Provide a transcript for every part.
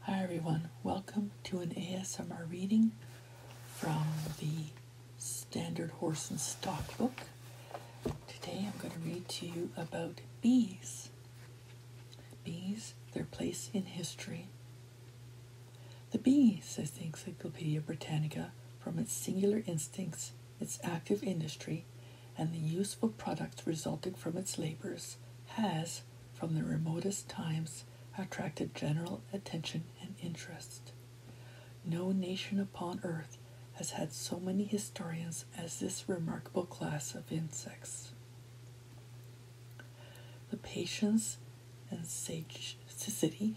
Hi everyone, welcome to an ASMR reading from the Standard Horse and Stock book. Today I'm going to read to you about bees. Bees, their place in history. The bee, says the Encyclopedia Britannica, from its singular instincts, its active industry, and the useful products resulting from its labors, has, from the remotest times attracted general attention and interest. No nation upon earth has had so many historians as this remarkable class of insects. The patience and sagacity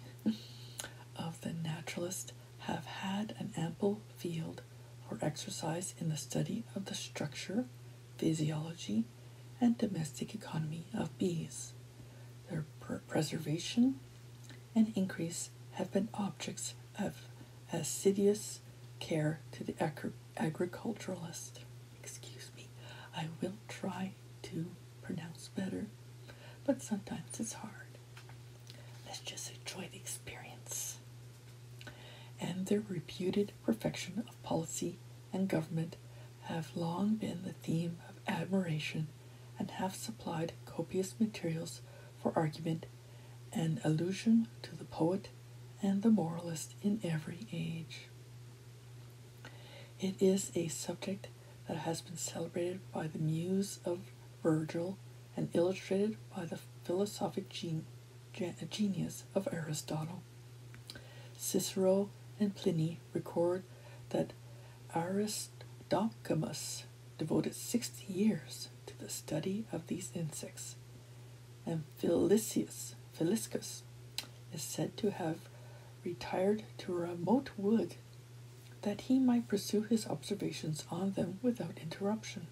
of the naturalist have had an ample field for exercise in the study of the structure, physiology, and domestic economy of bees. Their preservation and increase have been objects of assiduous care to the agri- agriculturalist. Excuse me, I will try to pronounce better, but sometimes it's hard. Let's just enjoy the experience. And their reputed perfection of policy and government have long been the theme of admiration and have supplied copious materials for argument and allusion to the poet and the moralist in every age. It is a subject that has been celebrated by the muse of Virgil and illustrated by the philosophic Jean genius of Aristotle. Cicero and Pliny record that Aristodemus devoted 60 years to the study of these insects, and Philiscus Feliscus is said to have retired to a remote wood that he might pursue his observations on them without interruption.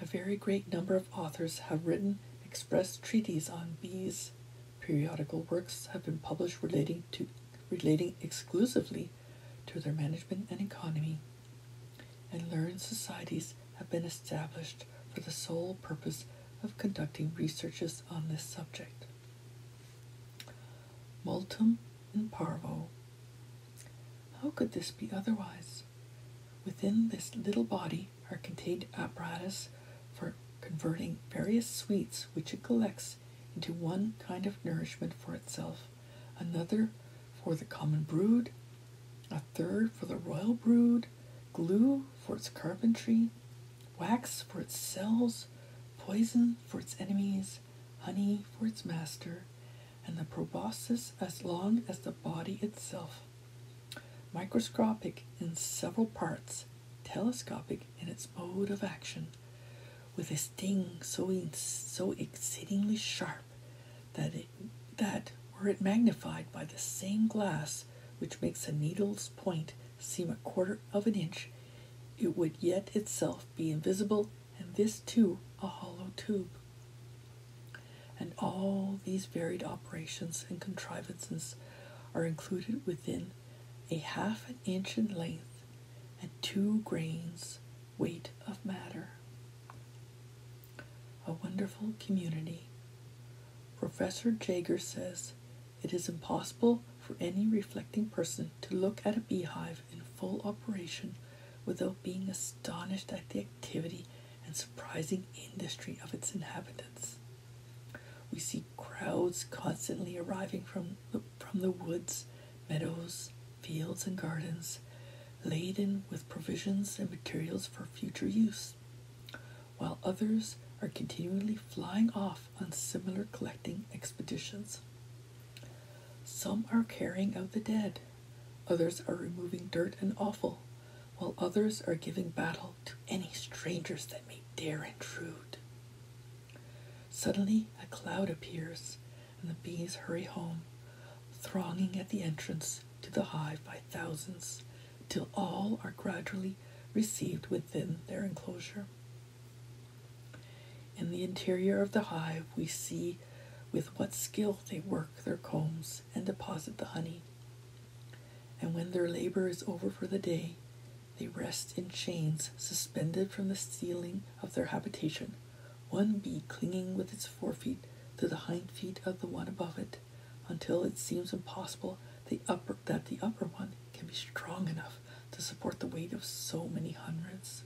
A very great number of authors have written express treatises on bees. Periodical works have been published relating to relating exclusively to their management and economy. And learned societies have been established for the sole purpose of conducting researches on this subject. Multum in Parvo. How could this be otherwise? Within this little body are contained apparatus for converting various sweets which it collects into one kind of nourishment for itself, another for the common brood, a third for the royal brood, glue for its carpentry, wax for its cells, poison for its enemies, honey for its master, and the proboscis as long as the body itself microscopic in several parts, telescopic in its mode of action, with a sting so, so exceedingly sharp that, that, were it magnified by the same glass which makes a needle's point seem a quarter of an inch, it would yet itself be invisible, and this too a hollow tube. And all these varied operations and contrivances are included within a half an inch in length and two grains weight of matter. A wonderful community. Professor Jager says it is impossible for any reflecting person to look at a beehive in full operation without being astonished at the activity and surprising industry of its inhabitants. We see crowds constantly arriving from the, from the woods, meadows, fields, and gardens, laden with provisions and materials for future use, while others are continually flying off on similar collecting expeditions. Some are carrying out the dead, others are removing dirt and offal, while others are giving battle to any strangers that may dare intrude. Suddenly, a cloud appears, and the bees hurry home, thronging at the entrance to the hive by thousands, till all are gradually received within their enclosure. In the interior of the hive, we see with what skill they work their combs and deposit the honey. And when their labor is over for the day, they rest in chains suspended from the ceiling of their habitation, one bee clinging with its forefeet to the hind feet of the one above it, until it seems impossible that the upper one can be strong enough to support the weight of so many hundreds.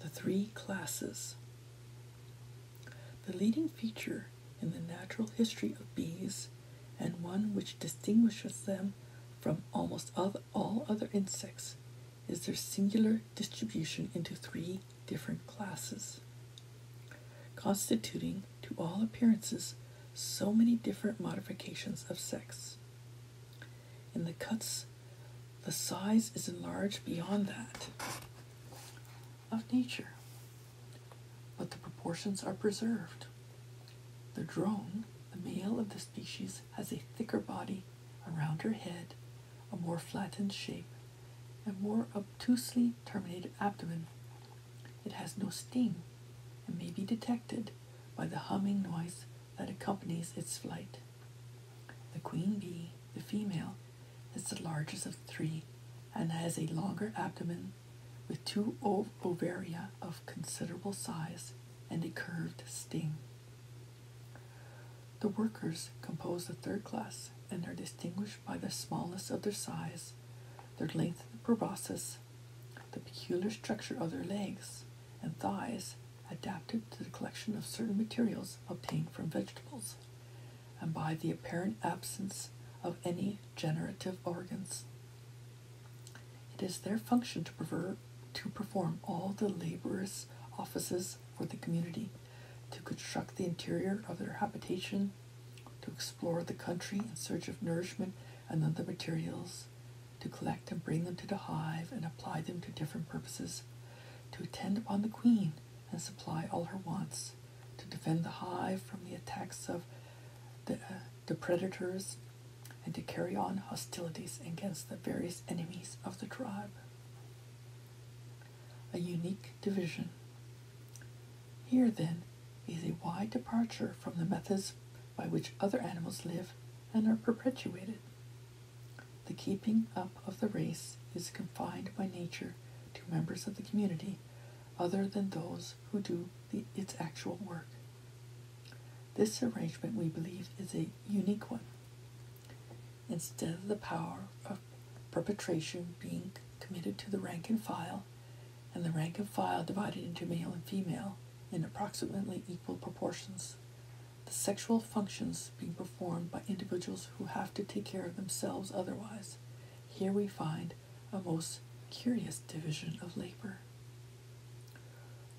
The three classes the leading feature in the natural history of bees, and one which distinguishes them from almost all other insects, is their singular distribution into three different classes, constituting, to all appearances, so many different modifications of sex. In the cuts, the size is enlarged beyond that of nature, but the proportions are preserved. The drone, the male of the species, has a thicker body a rounder head, a more flattened shape, and more obtusely terminated abdomen. It has no sting and may be detected by the humming noise that accompanies its flight. The queen bee, the female, is the largest of three and has a longer abdomen with two ov- ovaria of considerable size and a curved sting. The workers compose the third class and are distinguished by the smallness of their size, their length of the proboscis, the peculiar structure of their legs and thighs adapted to the collection of certain materials obtained from vegetables and by the apparent absence of any generative organs. It is their function to, prefer, to perform all the laborious offices for the community, to construct the interior of their habitation, to explore the country in search of nourishment and other materials, to collect and bring them to the hive and apply them to different purposes, to attend upon the queen and supply all her wants, to defend the hive from the attacks of the, uh, the predators, and to carry on hostilities against the various enemies of the tribe. A unique division. Here, then, is a wide departure from the methods by which other animals live and are perpetuated. The keeping up of the race is confined by nature to members of the community other than those who do its actual work. This arrangement, we believe, is a unique one. Instead of the power of perpetration being committed to the rank and file, and the rank and file divided into male and female in approximately equal proportions, the sexual functions being performed by individuals who have to take care of themselves otherwise, here we find a most curious division of labor.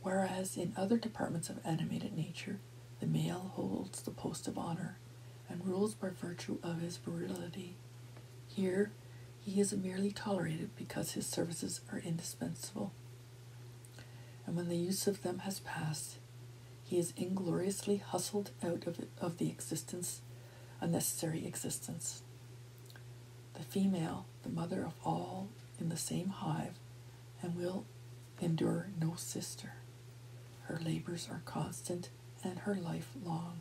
Whereas in other departments of animated nature, the male holds the post of honor and rules by virtue of his virility, here he is merely tolerated because his services are indispensable. And when the use of them has passed, he is ingloriously hustled out of, of the existence a necessary existence. The female, the mother of all in the same hive, and will endure no sister. Her labors are constant and her life long.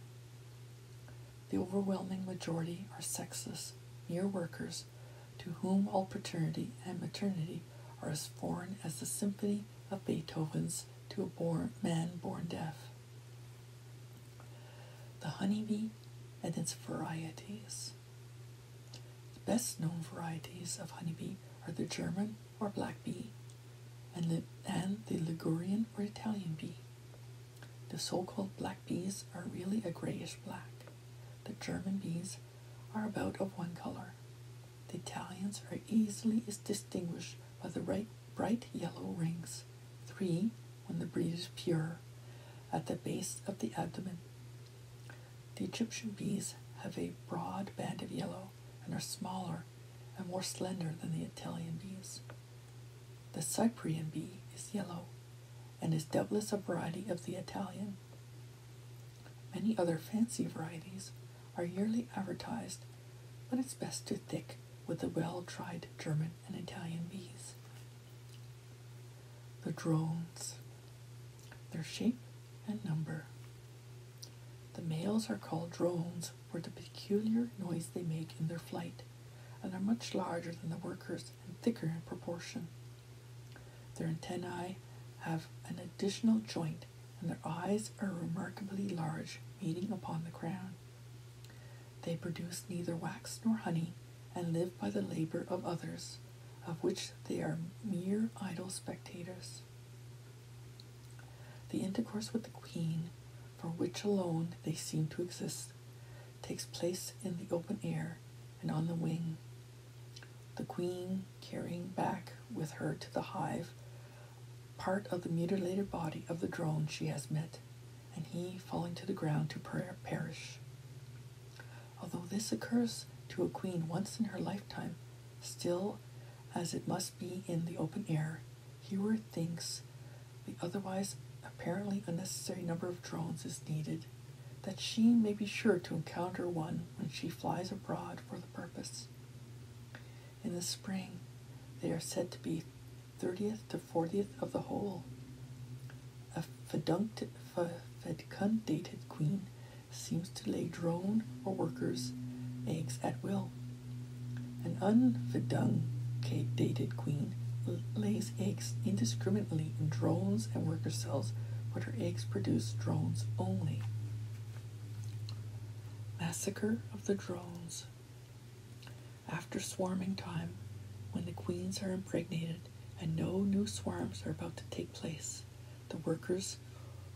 The overwhelming majority are sexless, mere workers, to whom all paternity and maternity are as foreign as the symphony of Beethoven's to a born, man born deaf. The honeybee and its varieties. The best known varieties of honeybee are the German or black bee and, and the Ligurian or Italian bee. The so-called black bees are really a grayish black. The German bees are about of one color. The Italians are easily distinguished by the right bright yellow rings, three when the breed is pure, at the base of the abdomen. The Egyptian bees have a broad band of yellow and are smaller and more slender than the Italian bees. The Cyprian bee is yellow and is doubtless a variety of the Italian. Many other fancy varieties are yearly advertised, but it's best to thick with the well-tried German and Italian bees. The drones, their shape and number. The males are called drones for the peculiar noise they make in their flight and are much larger than the workers and thicker in proportion. Their antennae have an additional joint and their eyes are remarkably large, meeting upon the crown. They produce neither wax nor honey, and live by the labor of others, of which they are mere idle spectators. The intercourse with the queen, for which alone they seem to exist, takes place in the open air and on the wing. The queen, carrying back with her to the hive part of the mutilated body of the drone she has met, and he falling to the ground to perish. Although this occurs to a queen once in her lifetime, still, as it must be in the open air, Heward thinks the otherwise apparently unnecessary number of drones is needed, that she may be sure to encounter one when she flies abroad for the purpose in the spring. They are said to be 30th to 40th of the whole. A fedundated queen seems to lay drone or workers eggs at will. An unfedundated queen lays eggs indiscriminately in drones and worker cells, but her eggs produce drones only. Massacre of the Drones. After swarming time, when the queens are impregnated and no new swarms are about to take place, the workers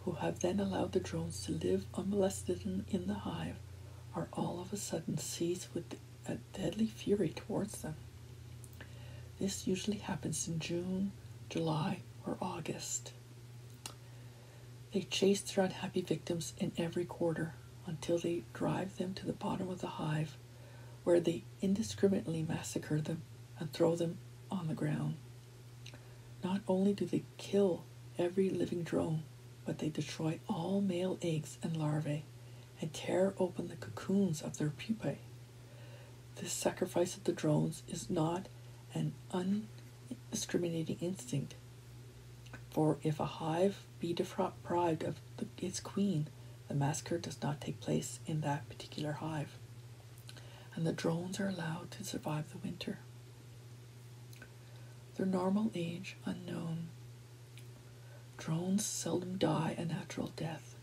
who have then allowed the drones to live unmolested in, the hive are all of a sudden seized with a deadly fury towards them. This usually happens in June, July, or August. They chase their unhappy victims in every quarter until they drive them to the bottom of the hive, where they indiscriminately massacre them and throw them on the ground. Not only do they kill every living drone, but they destroy all male eggs and larvae and tear open the cocoons of their pupae. This sacrifice of the drones is not an undiscriminating instinct, for if a hive be deprived of its queen, the massacre does not take place in that particular hive, and the drones are allowed to survive the winter. Their normal age unknown. Drones seldom die a natural death.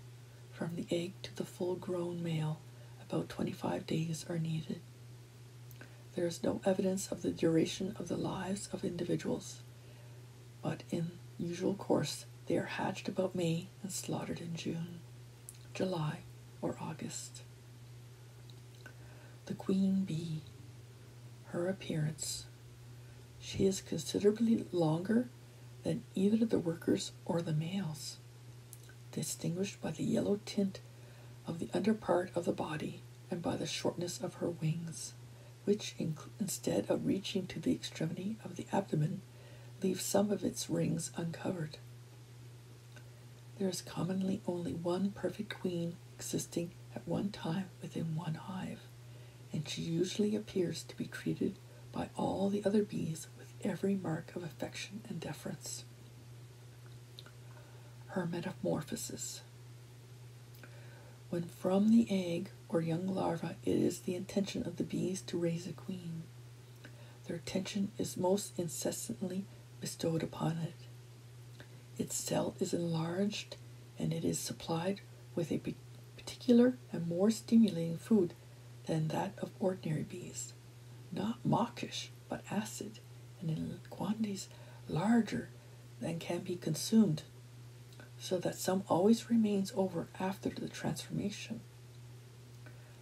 From the egg to the full grown male, about 25 days are needed there is no evidence of the duration of the lives of individuals, but in usual course they are hatched about May and slaughtered in June, July, or August. The queen bee, her appearance. She is considerably longer than either the workers or the males, distinguished by the yellow tint of the under part of the body and by the shortness of her wings, which instead of reaching to the extremity of the abdomen, leave some of its rings uncovered. There is commonly only one perfect queen existing at one time within one hive, and she usually appears to be treated by all the other bees with every mark of affection and deference. Her metamorphosis. When from the egg or young larva, it is the intention of the bees to raise a queen. Their attention is most incessantly bestowed upon it. Its cell is enlarged and it is supplied with a particular and more stimulating food than that of ordinary bees, not mawkish, but acid, and in quantities larger than can be consumed, so that some always remains over after the transformation.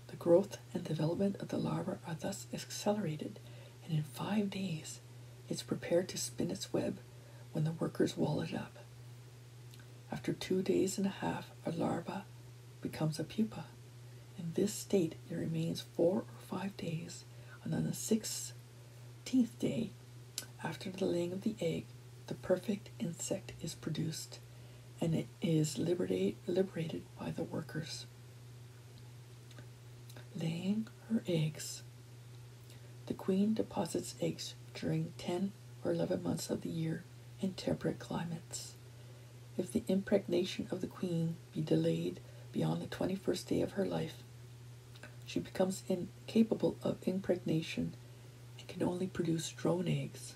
The growth and development of the larva are thus accelerated, and in five days it's prepared to spin its web when the workers wall it up. After two days and a half, a larva becomes a pupa. In this state, it remains four or five days, and on the sixteenth day, after the laying of the egg, the perfect insect is produced, and it is liberated by the workers. Laying her eggs. The queen deposits eggs during 10 or 11 months of the year in temperate climates. If the impregnation of the queen be delayed beyond the 21st day of her life. She becomes incapable of impregnation and can only produce drone eggs.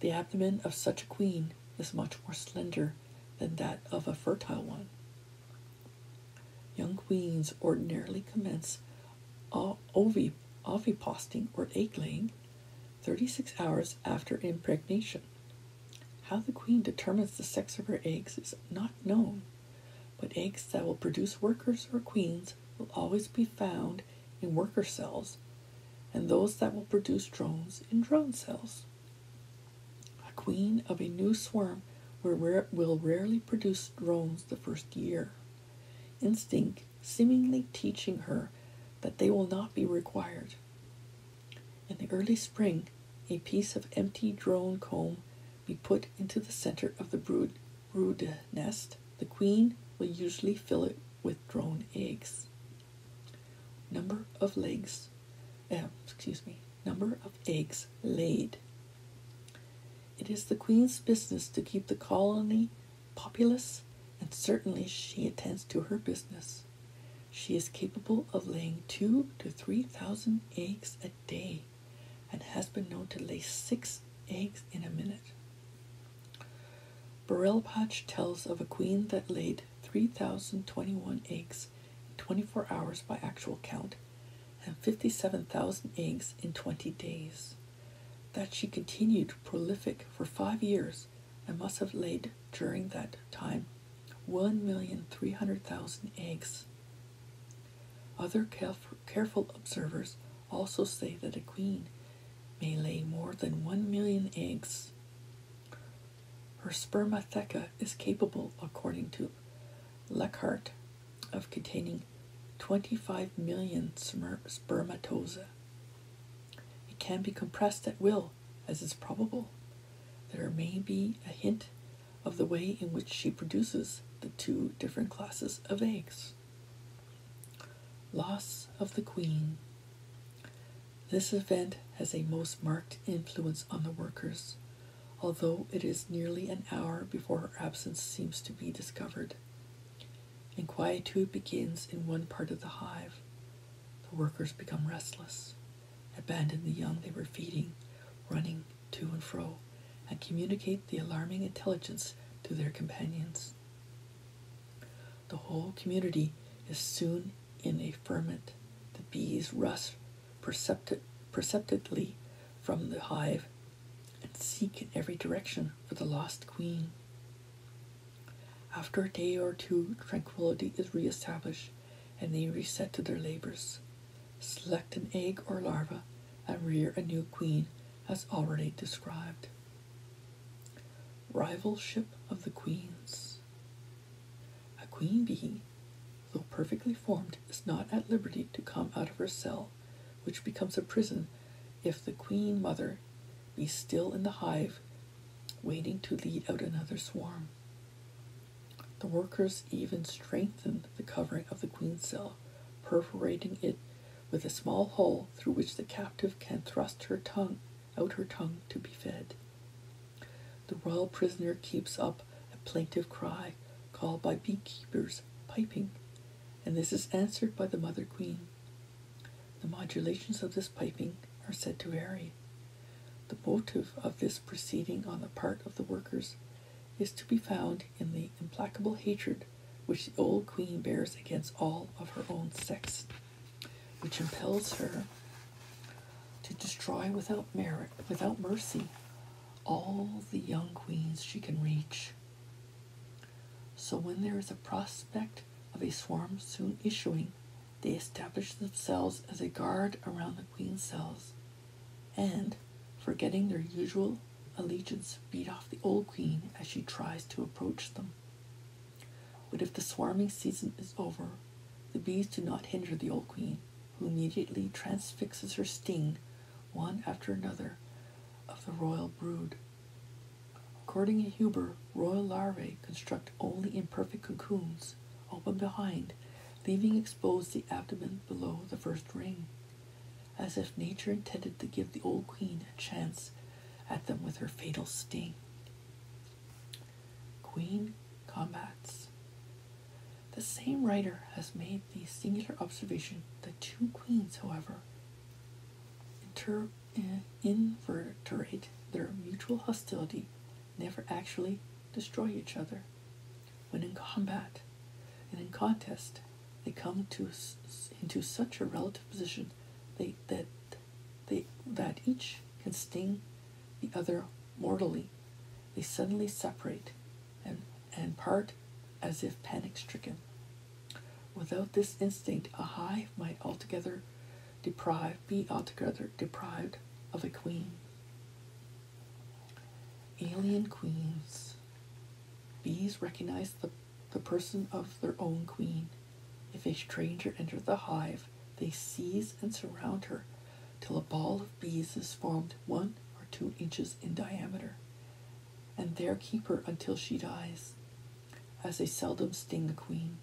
The abdomen of such a queen is much more slender than that of a fertile one. Young queens ordinarily commence oviposting or egg laying 36 hours after impregnation. How the queen determines the sex of her eggs is not known, but eggs that will produce workers or queens will always be found in worker cells, and those that will produce drones in drone cells. A queen of a new swarm will rarely produce drones the first year, instinct seemingly teaching her that they will not be required. In the early spring, a piece of empty drone comb be put into the center of the brood, brood nest. The queen will usually fill it with drone eggs. Number of legs, eh, excuse me, number of eggs laid. It is the queen's business to keep the colony populous, and certainly she attends to her business. She is capable of laying two to three thousand eggs a day and has been known to lay six eggs in a minute. Burrell tells of a queen that laid 3,021 eggs in 24 hours by actual count and 57,000 eggs in 20 days. That she continued prolific for five years and must have laid during that time 1,300,000 eggs. Other careful observers also say that a queen may lay more than 1 million eggs. Her spermatheca is capable, according to Lockhart, of containing 25 million spermatozoa. It can be compressed at will, as is probable. There may be a hint of the way in which she produces the two different classes of eggs. Loss of the queen. This event has a most marked influence on the workers, although it is nearly an hour before her absence seems to be discovered. Inquietude begins in one part of the hive. The workers become restless abandon the young they were feeding, running to and fro, and communicate the alarming intelligence to their companions. The whole community is soon in a ferment. The bees rush perceptibly from the hive and seek in every direction for the lost queen. After a day or two, tranquility is re-established and they reset to their labors. Select an egg or larva and rear a new queen as already described. Rivalship of the queens. A queen bee, though perfectly formed, is not at liberty to come out of her cell, which becomes a prison if the queen mother be still in the hive, waiting to lead out another swarm. The workers even strengthen the covering of the queen's cell, perforating it with a small hole through which the captive can thrust her tongue out her tongue to be fed. The royal prisoner keeps up a plaintive cry called by beekeepers piping, and this is answered by the mother queen. The modulations of this piping are said to vary, the motive of this proceeding on the part of the workers is to be found in the implacable hatred which the old queen bears against all of her own sex, which impels her to destroy without merit, without mercy, all the young queens she can reach. So when there is a prospect of a swarm soon issuing, they establish themselves as a guard around the queen's cells and, forgetting their usual allegiance, beat off the old queen as she tries to approach them. But if the swarming season is over, the bees do not hinder the old queen, who immediately transfixes her sting, one after another, of the royal brood. According to Huber, royal larvae construct only imperfect cocoons, open behind, leaving exposed the abdomen below the first ring, as if nature intended to give the old queen a chance at them with her fatal sting. Queen combats. The same writer has made the singular observation that two queens, however, inter- eh, inverterate their mutual hostility, never actually destroy each other when in combat and in contest they come to into such a relative position they, that they that each can sting the other mortally they suddenly separate and and part as if panic stricken without this instinct a hive might altogether deprived be altogether deprived of a queen Alien queens. Bees recognize the, the person of their own queen. If a stranger enters the hive, they seize and surround her till a ball of bees is formed one or two inches in diameter, and there keep her until she dies, as they seldom sting a queen.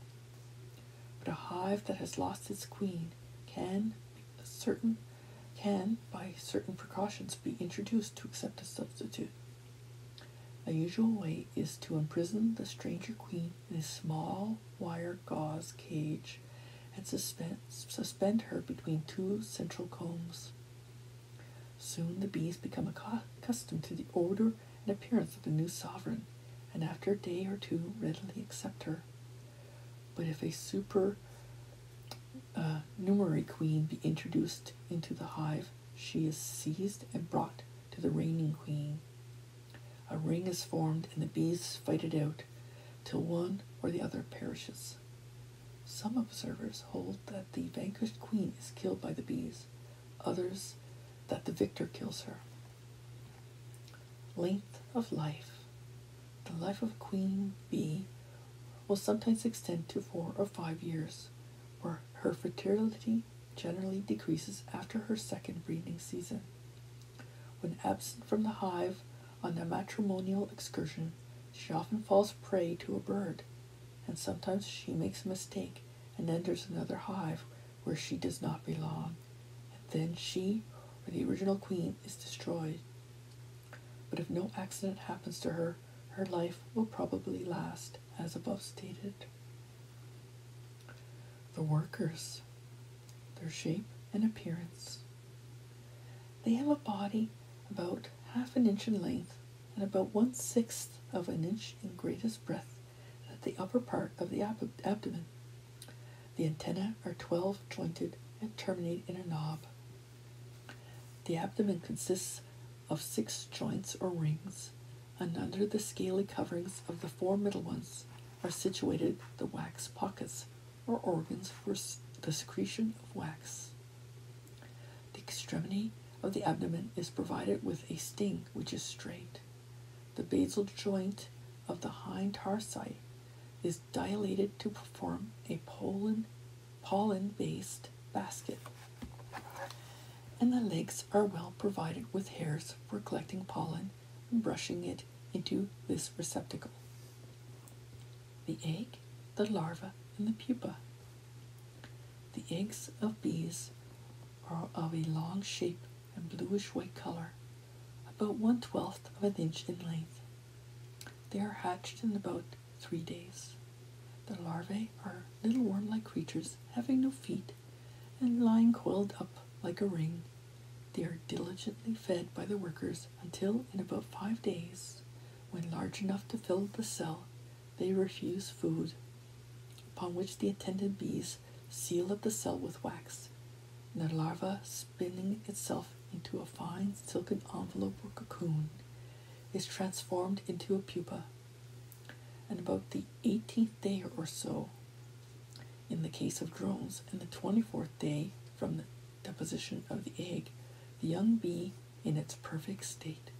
But a hive that has lost its queen can certain can, by certain precautions, be introduced to accept a substitute. A usual way is to imprison the stranger queen in a small wire gauze cage and suspend, suspend her between two central combs. Soon the bees become accustomed to the odor and appearance of the new sovereign, and after a day or two readily accept her. But if a supernumerary uh, queen be introduced into the hive, she is seized and brought to the reigning queen. A ring is formed and the bees fight it out till one or the other perishes. Some observers hold that the vanquished queen is killed by the bees, others that the victor kills her length of life. The life of queen bee will sometimes extend to four or five years, where her fertility generally decreases after her second breeding season. When absent from the hive on a matrimonial excursion, she often falls prey to a bird, and sometimes she makes a mistake and enters another hive where she does not belong and then she or the original queen is destroyed. But if no accident happens to her, her life will probably last as above stated. The workers, their shape and appearance. They have a body about half an inch in length and about one sixth of an inch in greatest breadth at the upper part of the abdomen. The antennae are 12 jointed and terminate in a knob. The abdomen consists of six joints or rings, and under the scaly coverings of the four middle ones are situated the wax pockets or organs for the secretion of wax. The extremity of the abdomen is provided with a sting which is straight. The basal joint of the hind tarsi is dilated to form a pollen, pollen-based basket. And the legs are well provided with hairs for collecting pollen and brushing it into this receptacle. The egg, the larva, and the pupa. The eggs of bees are of a long shape and bluish white color about one twelfth of an inch in length. They are hatched in about three days. The larvae are little worm like creatures having no feet and lying coiled up like a ring. They are diligently fed by the workers until, in about five days, when large enough to fill the cell, they refuse food, upon which the attendant bees seal up the cell with wax the larva spinning itself into a fine silken envelope or cocoon is transformed into a pupa. And about the 18th day or so, in the case of drones, and the 24th day from the deposition of the egg, the young bee, in its perfect state,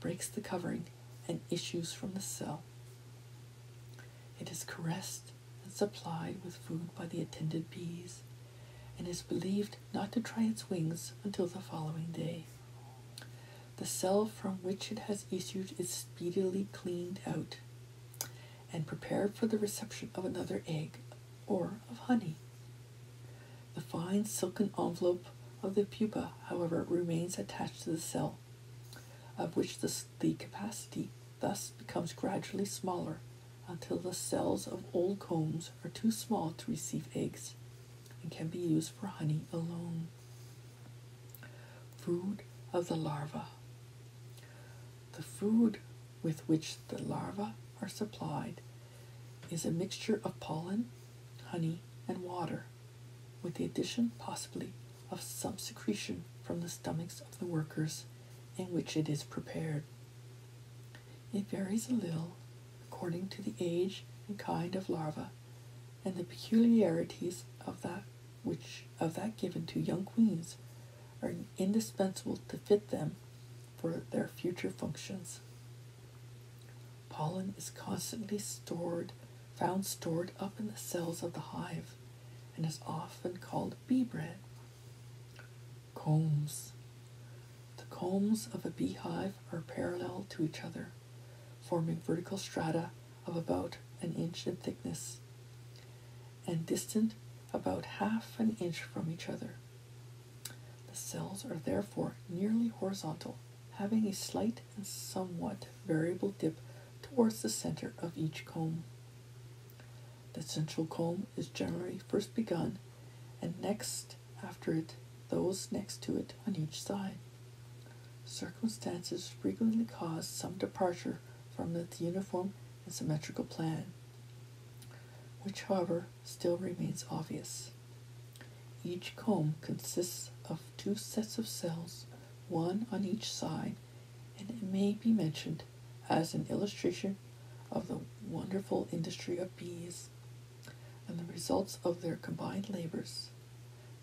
breaks the covering and issues from the cell. It is caressed and supplied with food by the attendant bees, and is believed not to try its wings until the following day. The cell from which it has issued is speedily cleaned out and prepared for the reception of another egg or of honey. The fine silken envelope of the pupa, however, remains attached to the cell, of which the, the capacity thus becomes gradually smaller until the cells of old combs are too small to receive eggs and can be used for honey alone. Food of the larva. The food with which the larvae are supplied is a mixture of pollen, honey, and water, with the addition possibly of some secretion from the stomachs of the workers in which it is prepared. It varies a little according to the age and kind of larva and the peculiarities of that which of that given to young queens are indispensable to fit them for their future functions. Pollen is constantly stored, found stored up in the cells of the hive, and is often called bee bread Combs. The combs of a beehive are parallel to each other, forming vertical strata of about an inch in thickness and distant about half an inch from each other. The cells are therefore nearly horizontal, having a slight and somewhat variable dip towards the center of each comb. The central comb is generally first begun and next after it those next to it on each side. Circumstances frequently cause some departure from the uniform and symmetrical plan, which, however, still remains obvious. Each comb consists of two sets of cells, one on each side, and it may be mentioned as an illustration of the wonderful industry of bees and the results of their combined labors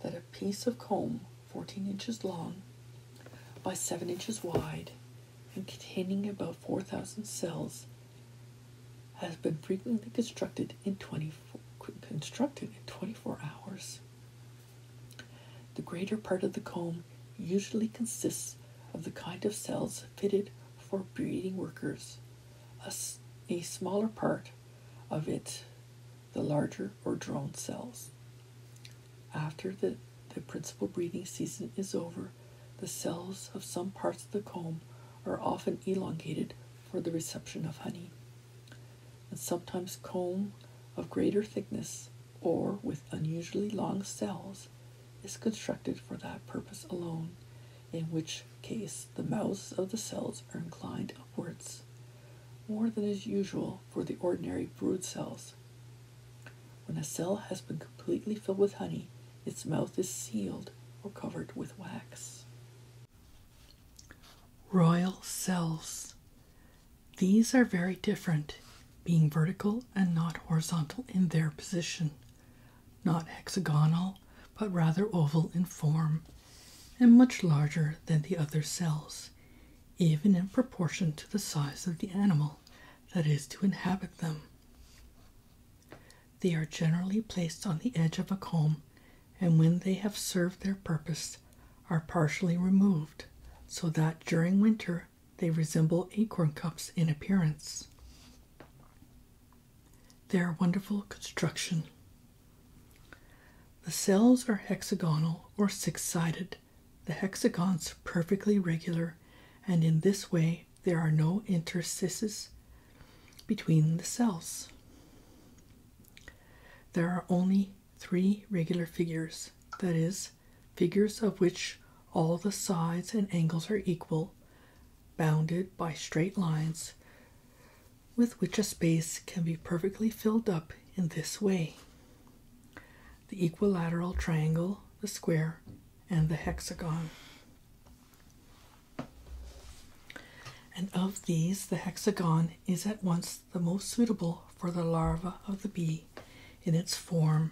that a piece of comb 14 inches long by 7 inches wide and containing about 4,000 cells has been frequently constructed in 24, constructed in 24 hours. The greater part of the comb usually consists of the kind of cells fitted for breeding workers. A, smaller part of it, the larger or drone cells. After the, the principal breeding season is over, the cells of some parts of the comb are often elongated for the reception of honey, and sometimes comb of greater thickness or with unusually long cells is constructed for that purpose alone, in which case the mouths of the cells are inclined upwards, more than is usual for the ordinary brood cells. When a cell has been completely filled with honey, its mouth is sealed or covered with wax. Royal cells. These are very different being vertical and not horizontal in their position, not hexagonal but rather oval in form, and much larger than the other cells, even in proportion to the size of the animal that is to inhabit them. They are generally placed on the edge of a comb, and when they have served their purpose, are partially removed, so that during winter they resemble acorn cups in appearance. They Their wonderful construction. The cells are hexagonal or six sided, the hexagons perfectly regular, and in this way there are no interstices between the cells. There are only three regular figures, that is, figures, of which all the sides and angles are equal, bounded by straight lines, with which a space can be perfectly filled up in this way. The equilateral triangle, the square, and the hexagon. And of these, the hexagon is at once the most suitable for the larva of the bee in its form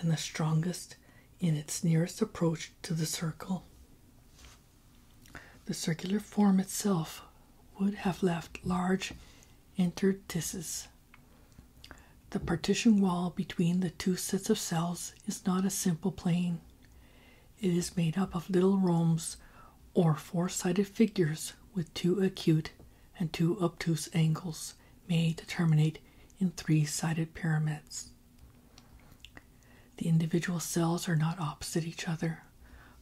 and the strongest in its nearest approach to the circle. The circular form itself would have left large interstices. The partition wall between the two sets of cells is not a simple plane. It is made up of little rhombs or four sided figures with two acute and two obtuse angles. May terminate in three sided pyramids. The individual cells are not opposite each other,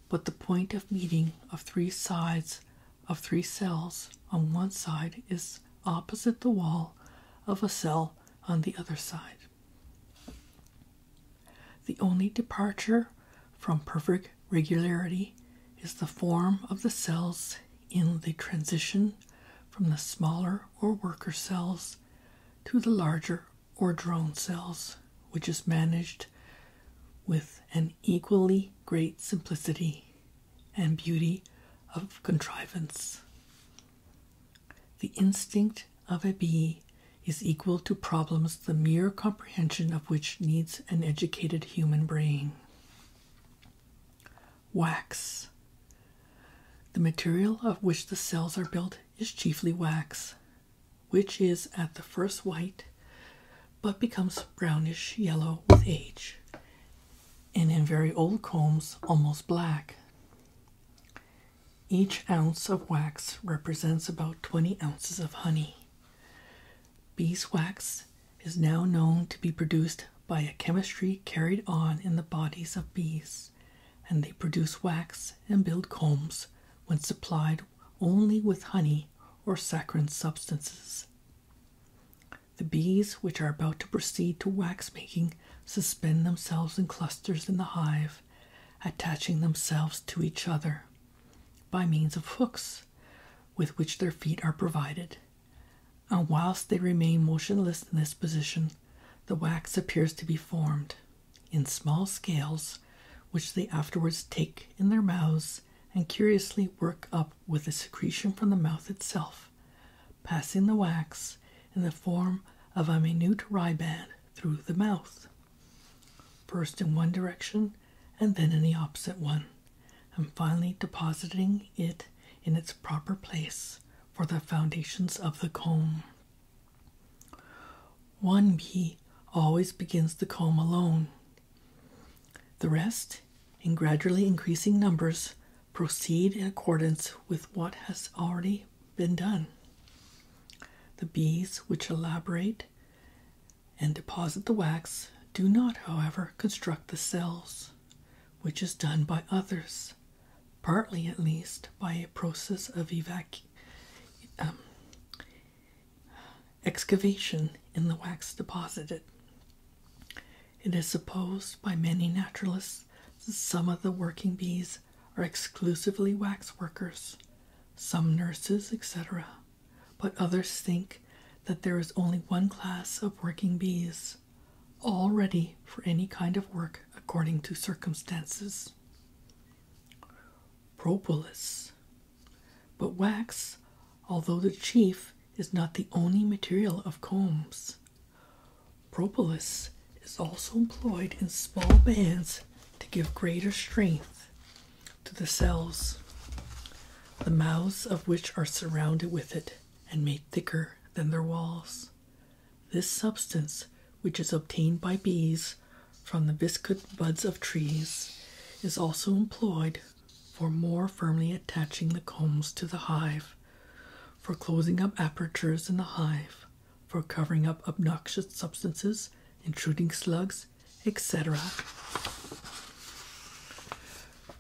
but the point of meeting of three sides of three cells on one side is opposite the wall of a cell on the other side. The only departure from perfect regularity is the form of the cells in the transition from the smaller or worker cells to the larger or drone cells, which is managed with an equally great simplicity and beauty of contrivance. The instinct of a bee is equal to problems the mere comprehension of which needs an educated human brain. Wax. The material of which the cells are built is chiefly wax, which is at the first white but becomes brownish yellow with age, and in very old combs almost black. Each ounce of wax represents about 20 ounces of honey. Beeswax is now known to be produced by a chemistry carried on in the bodies of bees, and they produce wax and build combs when supplied only with honey or saccharine substances. The bees, which are about to proceed to wax making, suspend themselves in clusters in the hive, attaching themselves to each other by means of hooks with which their feet are provided and whilst they remain motionless in this position, the wax appears to be formed in small scales, which they afterwards take in their mouths and curiously work up with the secretion from the mouth itself, passing the wax in the form of a minute riband through the mouth, first in one direction and then in the opposite one and finally depositing it in its proper place for the foundations of the comb. One bee always begins the comb alone. The rest, in gradually increasing numbers, proceed in accordance with what has already been done. The bees which elaborate and deposit the wax do not, however, construct the cells which is done by others, partly at least by a process of evac um, excavation in the wax deposited. It is supposed by many naturalists that some of the working bees are exclusively wax workers, some nurses, etc., but others think that there is only one class of working bees all ready for any kind of work according to circumstances. Propolis. But wax, although the chief, is not the only material of combs. Propolis is also employed in small bands to give greater strength to the cells, the mouths of which are surrounded with it and made thicker than their walls. This substance, which is obtained by bees from the viscid buds of trees, is also employed for more firmly attaching the combs to the hive, for closing up apertures in the hive, for covering up obnoxious substances, intruding slugs, etc.,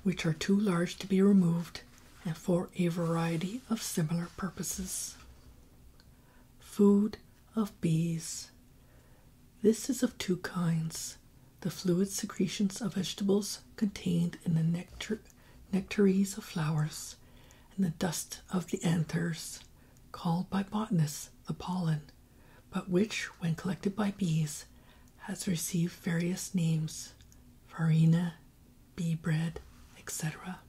which are too large to be removed and for a variety of similar purposes. Food of bees. This is of two kinds the fluid secretions of vegetables contained in the nectar, nectaries of flowers, and the dust of the anthers, called by botanists the pollen, but which, when collected by bees, has received various names farina, bee bread, etc.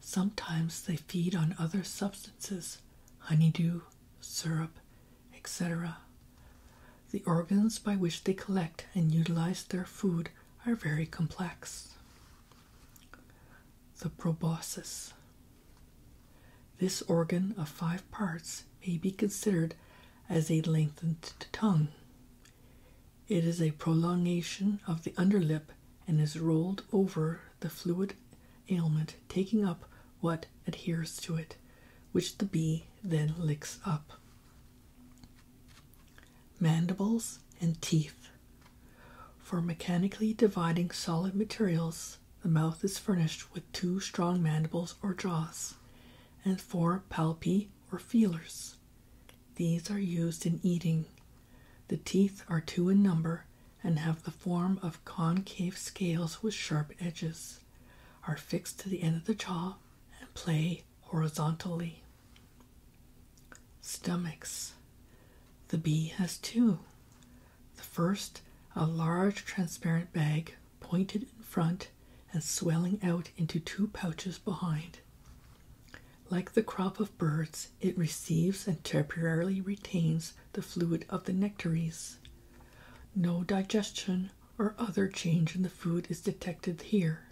Sometimes they feed on other substances, honeydew, syrup, etc. The organs by which they collect and utilize their food are very complex. The proboscis. This organ of five parts may be considered as a lengthened tongue. It is a prolongation of the underlip and is rolled over the fluid ailment, taking up what adheres to it, which the bee then licks up. Mandibles and teeth. For mechanically dividing solid materials, the mouth is furnished with two strong mandibles or jaws and four palpi or feelers. These are used in eating. The teeth are two in number and have the form of concave scales with sharp edges, are fixed to the end of the jaw, and play horizontally. Stomachs. The bee has two. The first, a large transparent bag pointed in front and swelling out into two pouches behind. Like the crop of birds, it receives and temporarily retains the fluid of the nectaries. No digestion or other change in the food is detected here.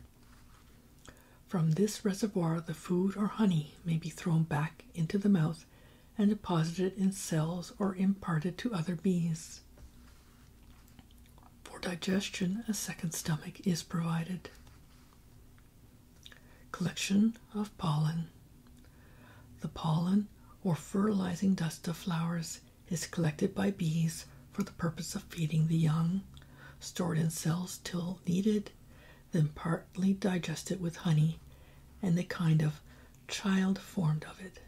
From this reservoir, the food or honey may be thrown back into the mouth and deposited in cells or imparted to other bees. For digestion, a second stomach is provided. Collection of pollen. The pollen or fertilizing dust of flowers is collected by bees for the purpose of feeding the young, stored in cells till needed, then partly digested with honey and the kind of child formed of it.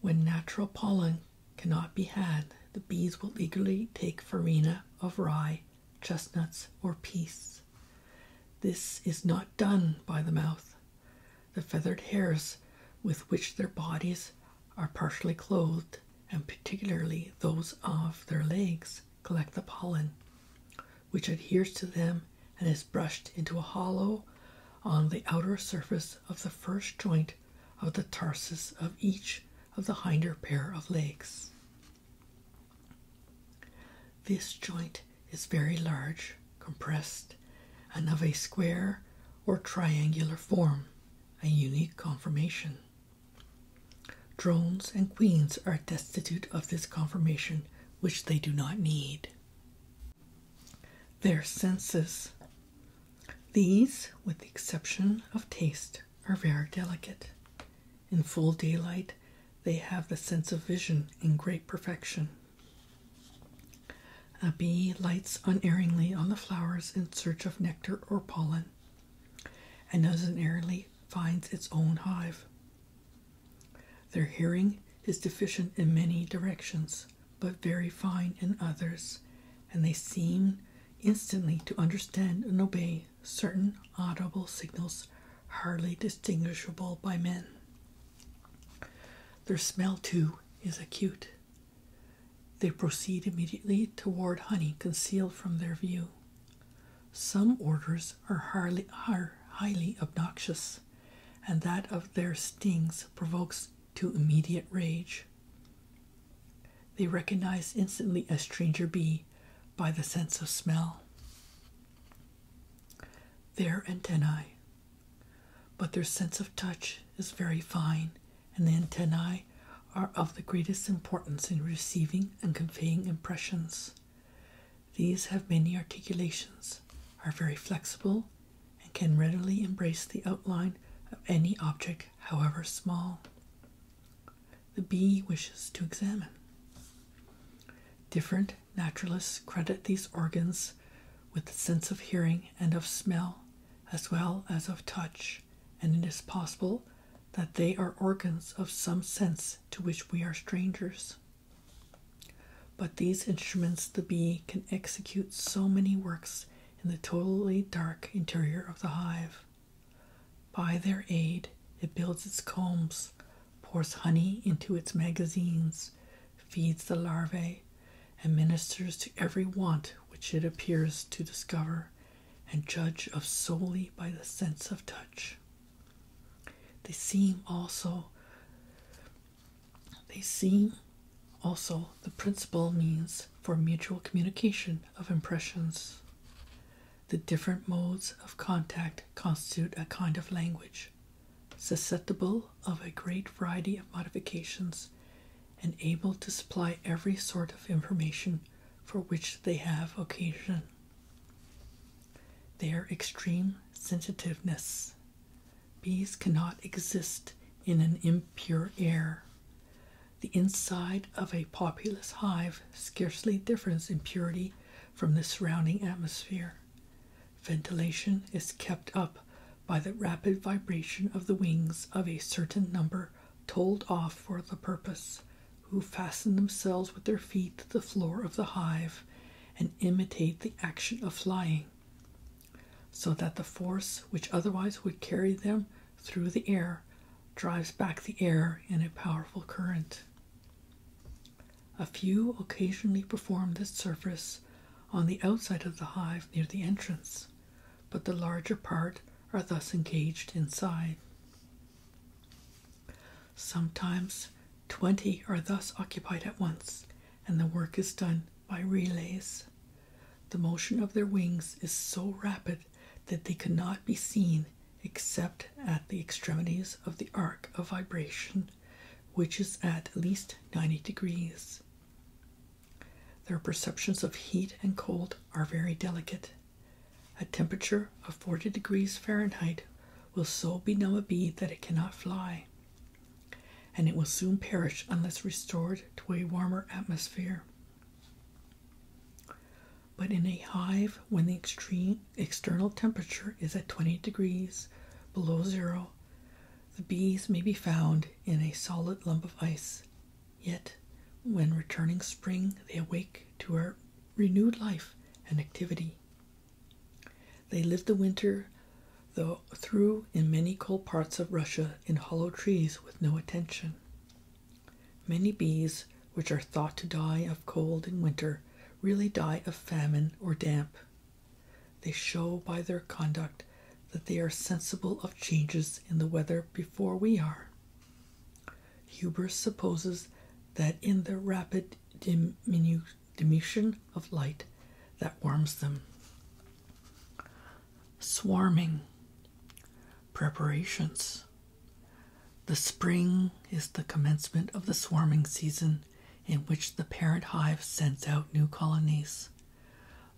When natural pollen cannot be had, the bees will eagerly take farina of rye, chestnuts, or peas. This is not done by the mouth. The feathered hairs with which their bodies are partially clothed, and particularly those of their legs, collect the pollen, which adheres to them and is brushed into a hollow on the outer surface of the first joint of the tarsus of each of the hinder pair of legs. This joint is very large, compressed, and of a square or triangular form, a unique conformation. Drones and queens are destitute of this conformation, which they do not need. Their senses these, with the exception of taste, are very delicate. In full daylight, they have the sense of vision in great perfection. A bee lights unerringly on the flowers in search of nectar or pollen, and unerringly finds its own hive. Their hearing is deficient in many directions, but very fine in others, and they seem instantly to understand and obey certain audible signals hardly distinguishable by men. Their smell, too, is acute. They proceed immediately toward honey concealed from their view. Some odors are highly obnoxious, and that of their stings provokes to immediate rage. They recognize instantly a stranger bee by the sense of smell. Their antennae. But their sense of touch is very fine, and the antennae are of the greatest importance in receiving and conveying impressions. These have many articulations, are very flexible, and can readily embrace the outline of any object, however small, the bee wishes to examine. Different naturalists credit these organs with the sense of hearing and of smell, as well as of touch, and it is possible that they are organs of some sense to which we are strangers. But these instruments the bee can execute so many works in the totally dark interior of the hive. By their aid, it builds its combs, pours honey into its magazines, feeds the larvae, and ministers to every want which it appears to discover and judge of solely by the sense of touch. They seem also they seem also the principal means for mutual communication of impressions. The different modes of contact constitute a kind of language, susceptible of a great variety of modifications and able to supply every sort of information for which they have occasion. Their extreme sensitiveness Bees cannot exist in an impure air. The inside of a populous hive scarcely differs in purity from the surrounding atmosphere. Ventilation is kept up by the rapid vibration of the wings of a certain number told off for the purpose, who fasten themselves with their feet to the floor of the hive and imitate the action of flying so that the force which otherwise would carry them through the air drives back the air in a powerful current. A few occasionally perform this service on the outside of the hive near the entrance, but the larger part are thus engaged inside. Sometimes twenty are thus occupied at once, and the work is done by relays. The motion of their wings is so rapid that they cannot be seen except at the extremities of the arc of vibration, which is at least 90 degrees. Their perceptions of heat and cold are very delicate. A temperature of 40 degrees Fahrenheit will so benumb a bee that it cannot fly and it will soon perish unless restored to a warmer atmosphere. But in a hive, when the extreme external temperature is at 20 degrees below zero, the bees may be found in a solid lump of ice. Yet, when returning spring, they awake to a renewed life and activity. They live the winter, though through, in many cold parts of Russia in hollow trees with no attention. Many bees, which are thought to die of cold in winter, really die of famine or damp. They show by their conduct that they are sensible of changes in the weather before we are. Huber supposes that in the rapid diminution of light that warms them swarming preparations. The spring is the commencement of the swarming season in which the parent hive sends out new colonies.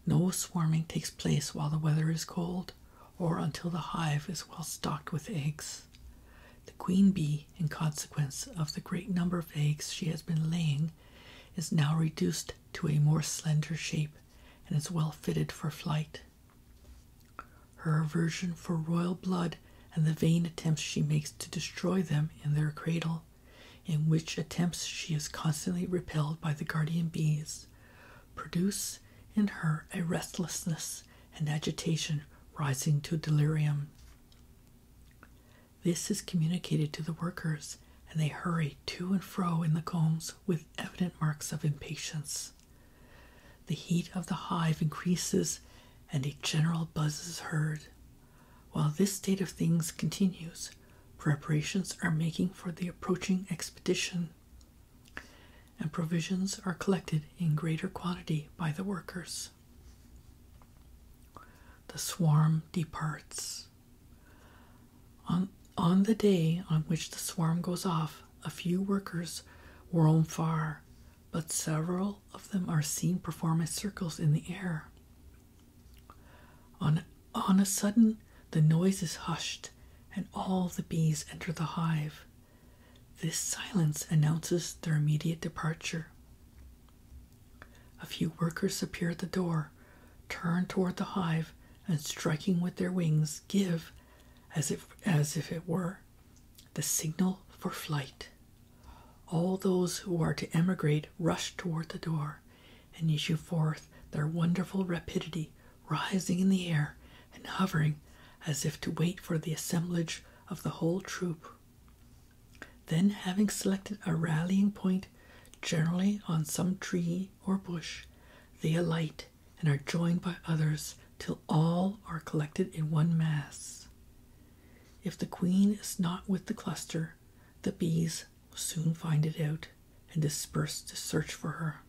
No swarming takes place while the weather is cold or until the hive is well stocked with eggs. The queen bee, in consequence of the great number of eggs she has been laying, is now reduced to a more slender shape and is well fitted for flight. Her aversion for royal blood and the vain attempts she makes to destroy them in their cradle, in which attempts she is constantly repelled by the guardian bees, produce in her a restlessness and agitation rising to delirium. This is communicated to the workers and they hurry to and fro in the combs with evident marks of impatience. The heat of the hive increases and a general buzz is heard. While this state of things continues, preparations are making for the approaching expedition, and provisions are collected in greater quantity by the workers. The swarm departs. On, the day on which the swarm goes off, a few workers roam far, but several of them are seen performing circles in the air. on a sudden, the noise is hushed, and all the bees enter the hive. This silence announces their immediate departure. A few workers appear at the door turn toward the hive, and striking with their wings, give, as if, as if it were, the signal for flight. All those who are to emigrate rush toward the door and issue forth their wonderful rapidity, rising in the air and hovering as if to wait for the assemblage of the whole troop. Then, having selected a rallying point, generally on some tree or bush, they alight and are joined by others till all are collected in one mass. If the queen is not with the cluster, the bees will soon find it out and disperse to search for her.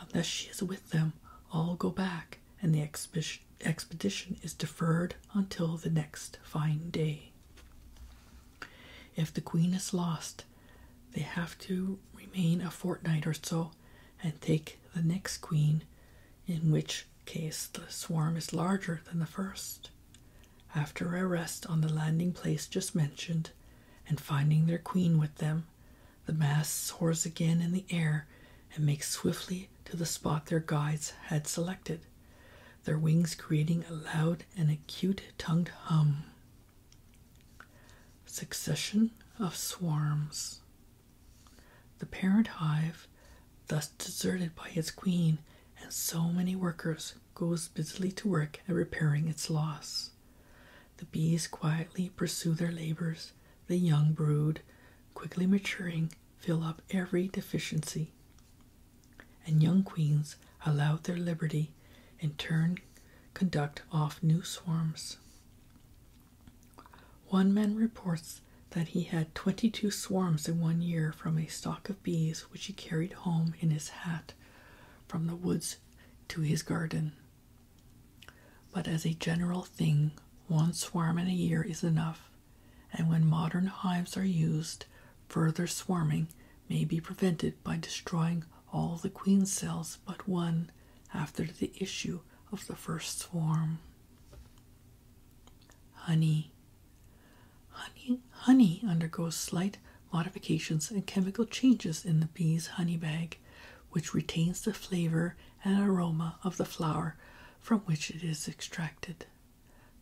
Unless she is with them, all go back and the expedition is deferred until the next fine day. If the queen is lost, they have to remain a fortnight or so and take the next queen, in which case the swarm is larger than the first. After a rest on the landing place just mentioned, and finding their queen with them, the mass soars again in the air and makes swiftly to the spot their guides had selected their wings creating a loud and acute tongued hum. Succession of swarms. The parent hive, thus deserted by its queen and so many workers, goes busily to work at repairing its loss. The bees quietly pursue their labors, the young brood, quickly maturing, fill up every deficiency and young queens allow their liberty in turn conduct off new swarms. One man reports that he had 22 swarms in one year from a stock of bees which he carried home in his hat from the woods to his garden. But as a general thing, one swarm in a year is enough, and when modern hives are used, further swarming may be prevented by destroying all the queen cells but one after the issue of the first swarm. Honey. Honey, honey undergoes slight modifications and chemical changes in the bee's honey bag, which retains the flavor and aroma of the flower from which it is extracted.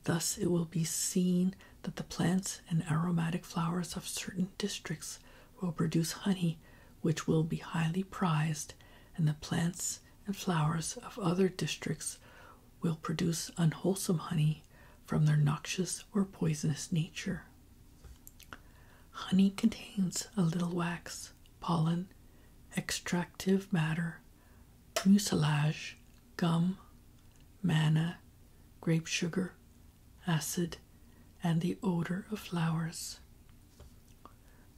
Thus, it will be seen that the plants and aromatic flowers of certain districts will produce honey which will be highly prized, and the plants and flowers of other districts will produce unwholesome honey from their noxious or poisonous nature. Honey contains a little wax, pollen, extractive matter, mucilage, gum, manna, grape sugar, acid, and the odor of flowers.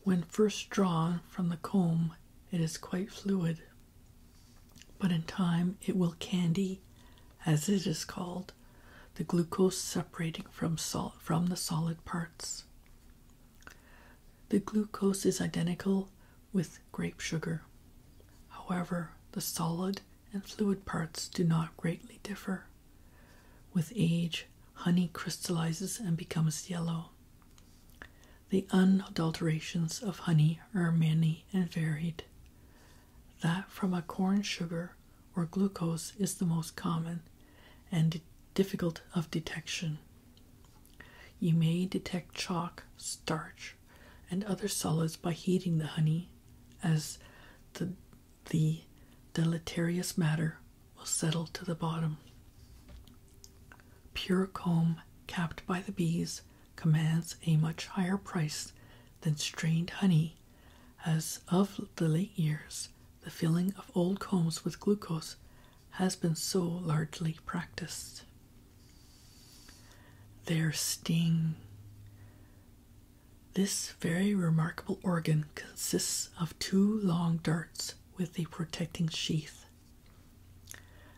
When first drawn from the comb, it is quite fluid, but in time it will candy, as it is called, the glucose separating from salt from the solid parts. The glucose is identical with grape sugar. However, the solid and fluid parts do not greatly differ. With age, honey crystallizes and becomes yellow. The unadulterations of honey are many and varied. That from a corn sugar or glucose is the most common and difficult of detection. You may detect chalk, starch, and other solids by heating the honey, as the, deleterious matter will settle to the bottom. Pure comb capped by the bees commands a much higher price than strained honey, as of the late years the filling of old combs with glucose has been so largely practiced. Their sting. This very remarkable organ consists of two long darts with a protecting sheath.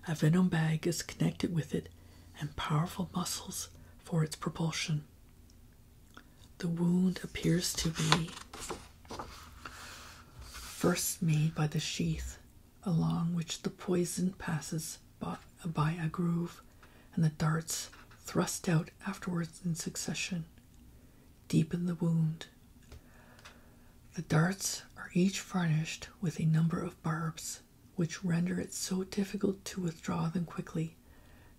A venom bag is connected with it and powerful muscles for its propulsion. The wound appears to be first made by the sheath along which the poison passes by a groove, and the darts thrust out afterwards in succession deepen the wound. The darts are each furnished with a number of barbs, which render it so difficult to withdraw them quickly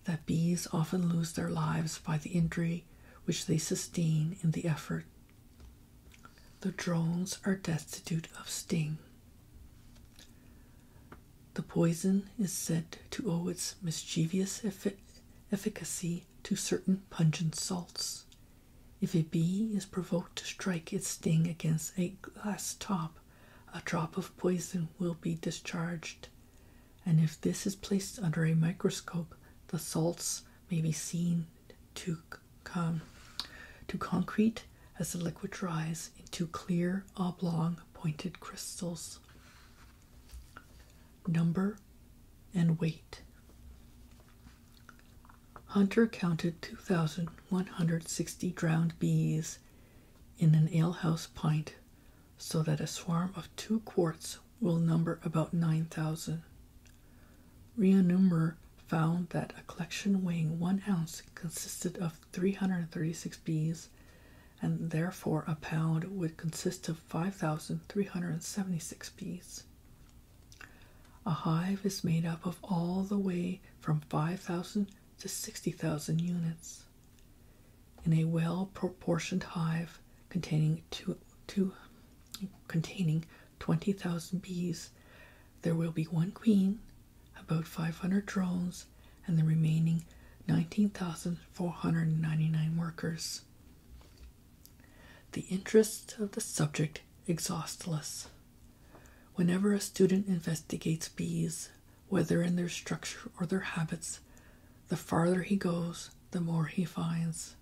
that bees often lose their lives by the injury which they sustain in the effort. The drones are destitute of sting. The poison is said to owe its mischievous efficacy to certain pungent salts. If a bee is provoked to strike its sting against a glass top, a drop of poison will be discharged, and if this is placed under a microscope, the salts may be seen to come to concrete as the liquid dries into clear, oblong, pointed crystals. Number and weight. Hunter counted 2,160 drowned bees in an alehouse pint, so that a swarm of two quarts will number about 9,000. Reanumer found that a collection weighing one ounce consisted of 336 bees, and therefore a pound would consist of 5,376 bees. A hive is made up of all the way from 5,000 to 60,000 units. In a well proportioned hive containing, two, containing 20,000 bees, there will be one queen about 500 drones, and the remaining 19,499 workers. The interest of the subject exhaustless. Whenever a student investigates bees, whether in their structure or their habits, the farther he goes, the more he finds.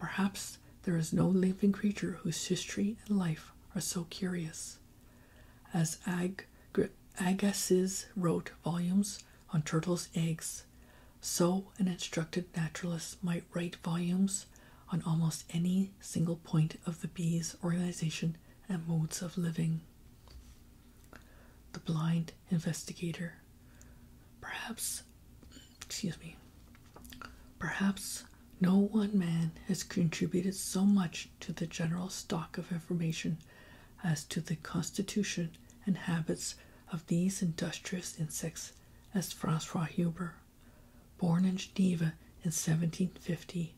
Perhaps there is no living creature whose history and life are so curious as Agassiz wrote volumes on turtles' eggs, so an instructed naturalist might write volumes on almost any single point of the bee's organization and modes of living. The blind investigator. Perhaps, excuse me, perhaps no one man has contributed so much to the general stock of information as to the constitution and habits of these industrious insects as Francois Huber, born in Geneva in 1750,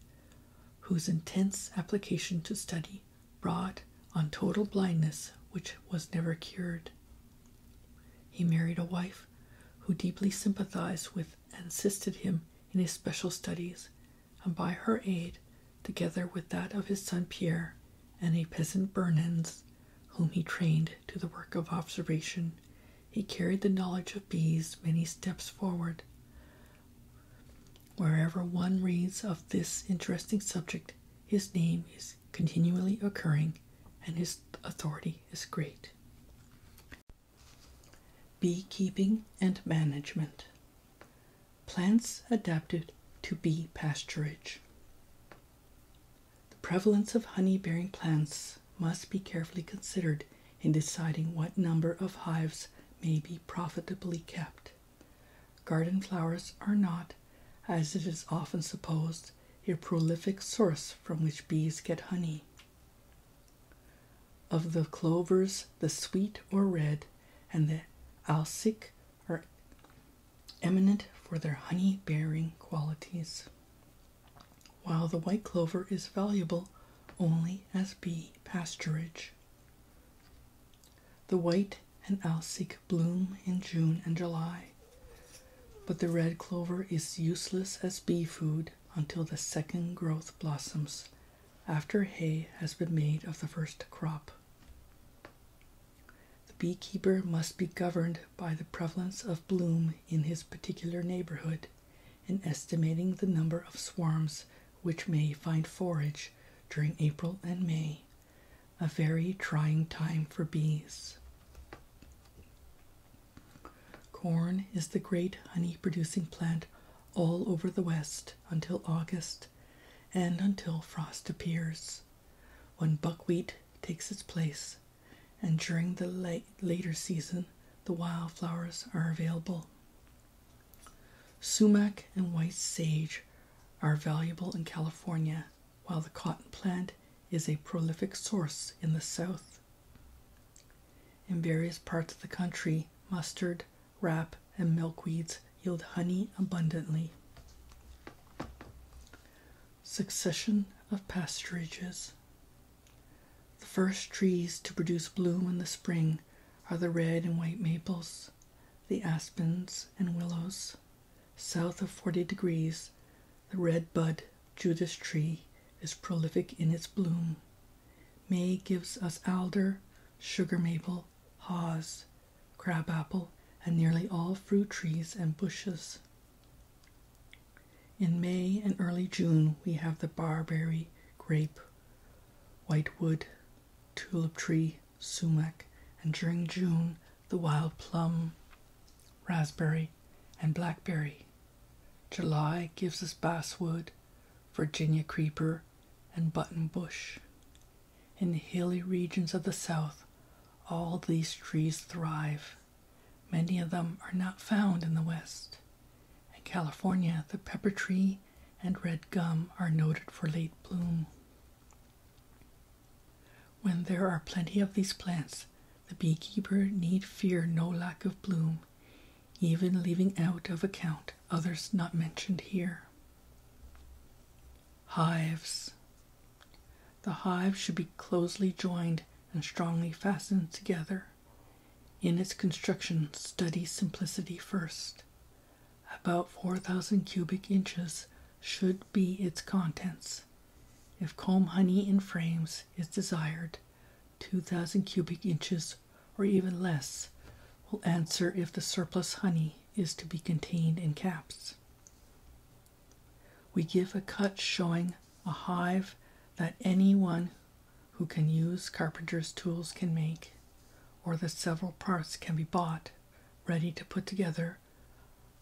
whose intense application to study brought on total blindness which was never cured. He married a wife who deeply sympathized with and assisted him in his special studies and by her aid, together with that of his son Pierre and a peasant Bernens, whom he trained to the work of observation, he carried the knowledge of bees many steps forward. Wherever one reads of this interesting subject, his name is continually occurring and his authority is great. Beekeeping and Management Plants adapted to bee pasturage. The prevalence of honey bearing plants must be carefully considered in deciding what number of hives may be profitably kept. Garden flowers are not, as it is often supposed, a prolific source from which bees get honey. Of the clovers, the sweet or red, and the alsic are eminent for their honey bearing qualities, while the white clover is valuable only as bee pasturage. The white and alsic bloom in June and July, but the red clover is useless as bee food until the second growth blossoms after hay has been made of the first crop. The beekeeper must be governed by the prevalence of bloom in his particular neighborhood in estimating the number of swarms which may find forage during April and May, a very trying time for bees. Corn is the great honey producing plant all over the West until August and until frost appears, when buckwheat takes its place, and during the later season, the wild flowers are available. Sumac and white sage are valuable in California, while the cotton plant is a prolific source in the South. In various parts of the country, mustard, Rap and milkweeds yield honey abundantly. Succession of pasturages. The first trees to produce bloom in the spring are the red and white maples, the aspens and willows. South of 40 degrees, the red bud Judas tree is prolific in its bloom, May gives us alder, sugar maple, haws, crabapple, and nearly all fruit trees and bushes. In May and early June, we have the barberry, grape, whitewood, tulip tree, sumac, and during June, the wild plum, raspberry, and blackberry. July gives us basswood, Virginia creeper, and button bush. In the hilly regions of the South, all these trees thrive. Many of them are not found in the West. In California, the pepper tree and red gum are noted for late bloom. When there are plenty of these plants, the beekeeper need fear no lack of bloom even leaving out of account others not mentioned here. Hives. The hive should be closely joined and strongly fastened together. In its construction, study simplicity first. About 4,000 cubic inches should be its contents. If comb honey in frames is desired, 2,000 cubic inches or even less will answer if the surplus honey is to be contained in caps. We give a cut showing a hive that any one who can use carpenter's tools can make, or the several parts can be bought ready to put together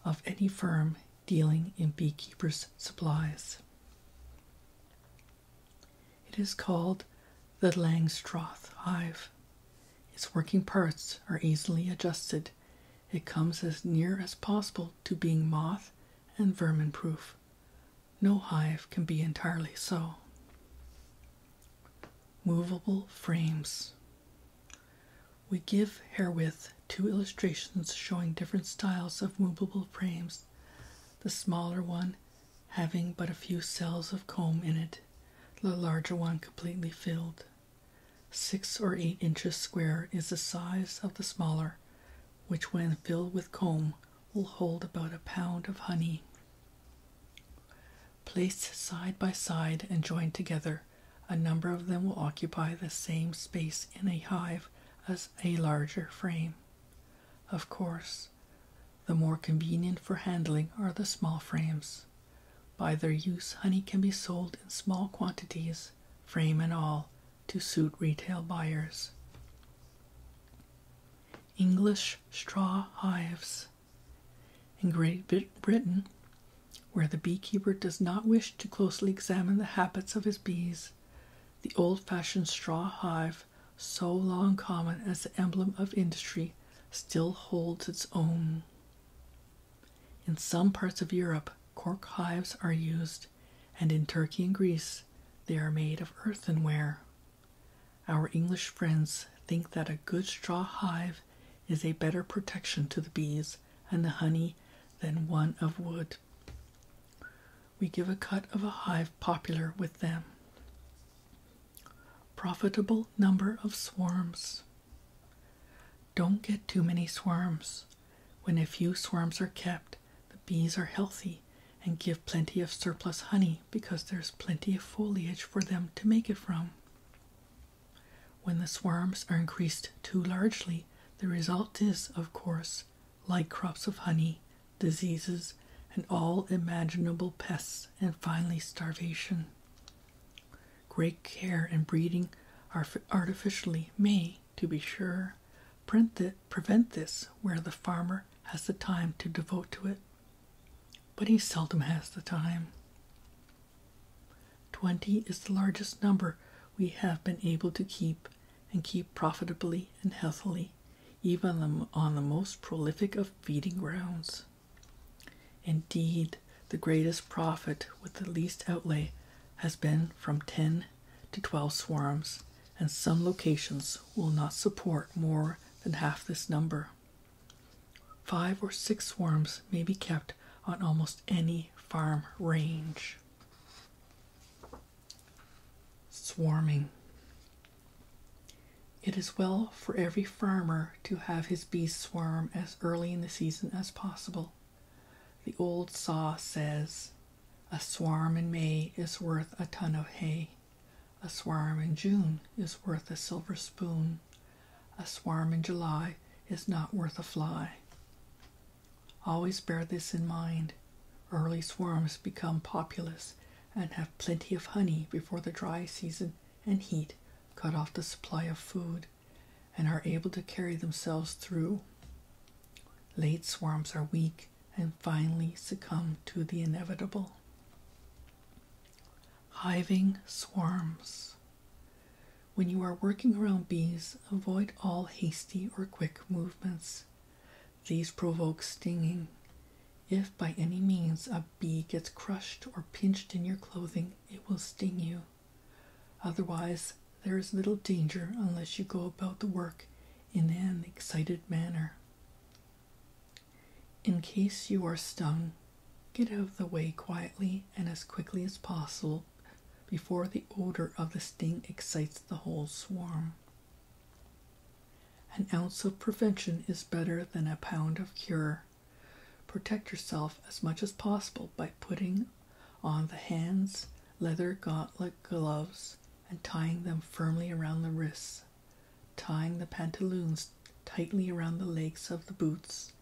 of any firm dealing in beekeepers' supplies. It is called the Langstroth hive. Its working parts are easily adjusted. It comes as near as possible to being moth and vermin proof. No hive can be entirely so. Movable frames. We give herewith two illustrations showing different styles of movable frames. The smaller one having but a few cells of comb in it, the larger one completely filled. Six or eight inches square is the size of the smaller, which, when filled with comb, will hold about a pound of honey. Placed side by side and joined together, a number of them will occupy the same space in a hive as a larger frame. Of course, the more convenient for handling are the small frames. By their use, honey can be sold in small quantities, frame and all, to suit retail buyers. English straw hives. In Great Britain, where the beekeeper does not wish to closely examine the habits of his bees, the old fashioned straw hive so long common as the emblem of industry, still holds its own. In some parts of Europe, cork hives are used, and in Turkey and Greece, they are made of earthenware. Our English friends think that a good straw hive is a better protection to the bees and the honey than one of wood. We give a cut of a hive popular with them. Profitable number of swarms. Don't get too many swarms. When a few swarms are kept, the bees are healthy and give plenty of surplus honey because there's plenty of foliage for them to make it from. When the swarms are increased too largely, the result is, of course, light crops of honey, diseases, and all imaginable pests and finally starvation. Great care and breeding are artificially may, to be sure, prevent this where the farmer has the time to devote to it, but he seldom has the time. Twenty is the largest number we have been able to keep and keep profitably and healthily, even on on the most prolific of feeding grounds. Indeed, the greatest profit with the least outlay has been from 10 to 12 swarms, and some locations will not support more than half this number. Five or six swarms may be kept on almost any farm range. Swarming. It is well for every farmer to have his bees swarm as early in the season as possible. The old saw says, A swarm in May is worth a ton of hay. A swarm in June is worth a silver spoon. A swarm in July is not worth a fly. Always bear this in mind. Early swarms become populous and have plenty of honey before the dry season and heat cut off the supply of food and are able to carry themselves through. Late swarms are weak and finally succumb to the inevitable. Hiving swarms. When you are working around bees, avoid all hasty or quick movements. These provoke stinging. If by any means a a bee gets crushed or pinched in your clothing, it will sting you. Otherwise, there is little danger unless you go about the work in an excited manner. In case you are stung, get out of the way quietly and as quickly as possible before the odor of the sting excites the whole swarm. An ounce of prevention is better than a pound of cure. Protect yourself as much as possible by putting on the hands, leather gauntlet gloves, and tying them firmly around the wrists, tying the pantaloons tightly around the legs of the boots,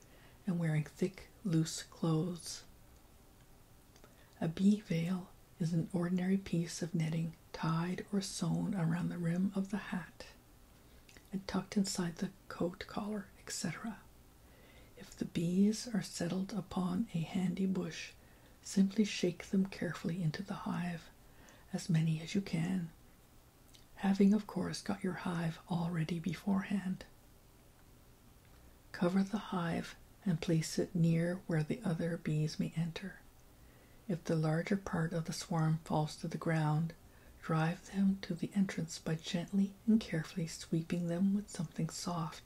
and wearing thick, loose clothes. A bee veil is an ordinary piece of netting tied or sewn around the rim of the hat and tucked inside the coat collar, etc. If the bees are settled upon a handy bush, simply shake them carefully into the hive, as many as you can, having, of course, got your hive all ready beforehand. Cover the hive and place it near where the other bees may enter. If the larger part of the swarm falls to the ground, drive them to the entrance by gently and carefully sweeping them with something soft.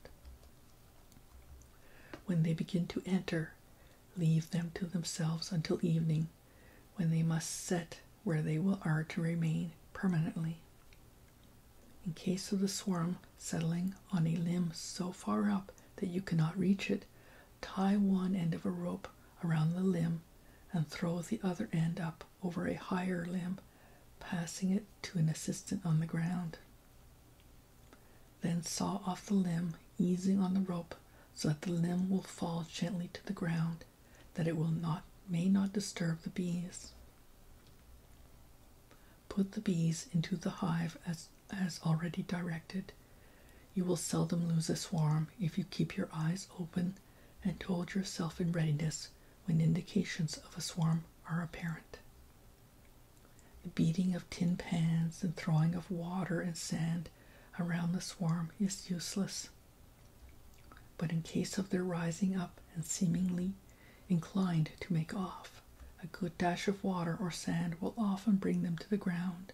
When they begin to enter, leave them to themselves until evening, when they must set where they will are to remain permanently. In case of the swarm settling on a limb so far up that you cannot reach it, tie one end of a rope around the limb and throw the other end up over a higher limb, passing it to an assistant on the ground. Then saw off the limb, easing on the rope so that the limb will fall gently to the ground, that it will not may not disturb the bees. Put the bees into the hive as, as already directed. You will seldom lose a swarm if you keep your eyes open and hold yourself in readiness when indications of a swarm are apparent. The beating of tin pans and throwing of water and sand around the swarm is useless. But in case of their rising up and seemingly inclined to make off, a good dash of water or sand will often bring them to the ground,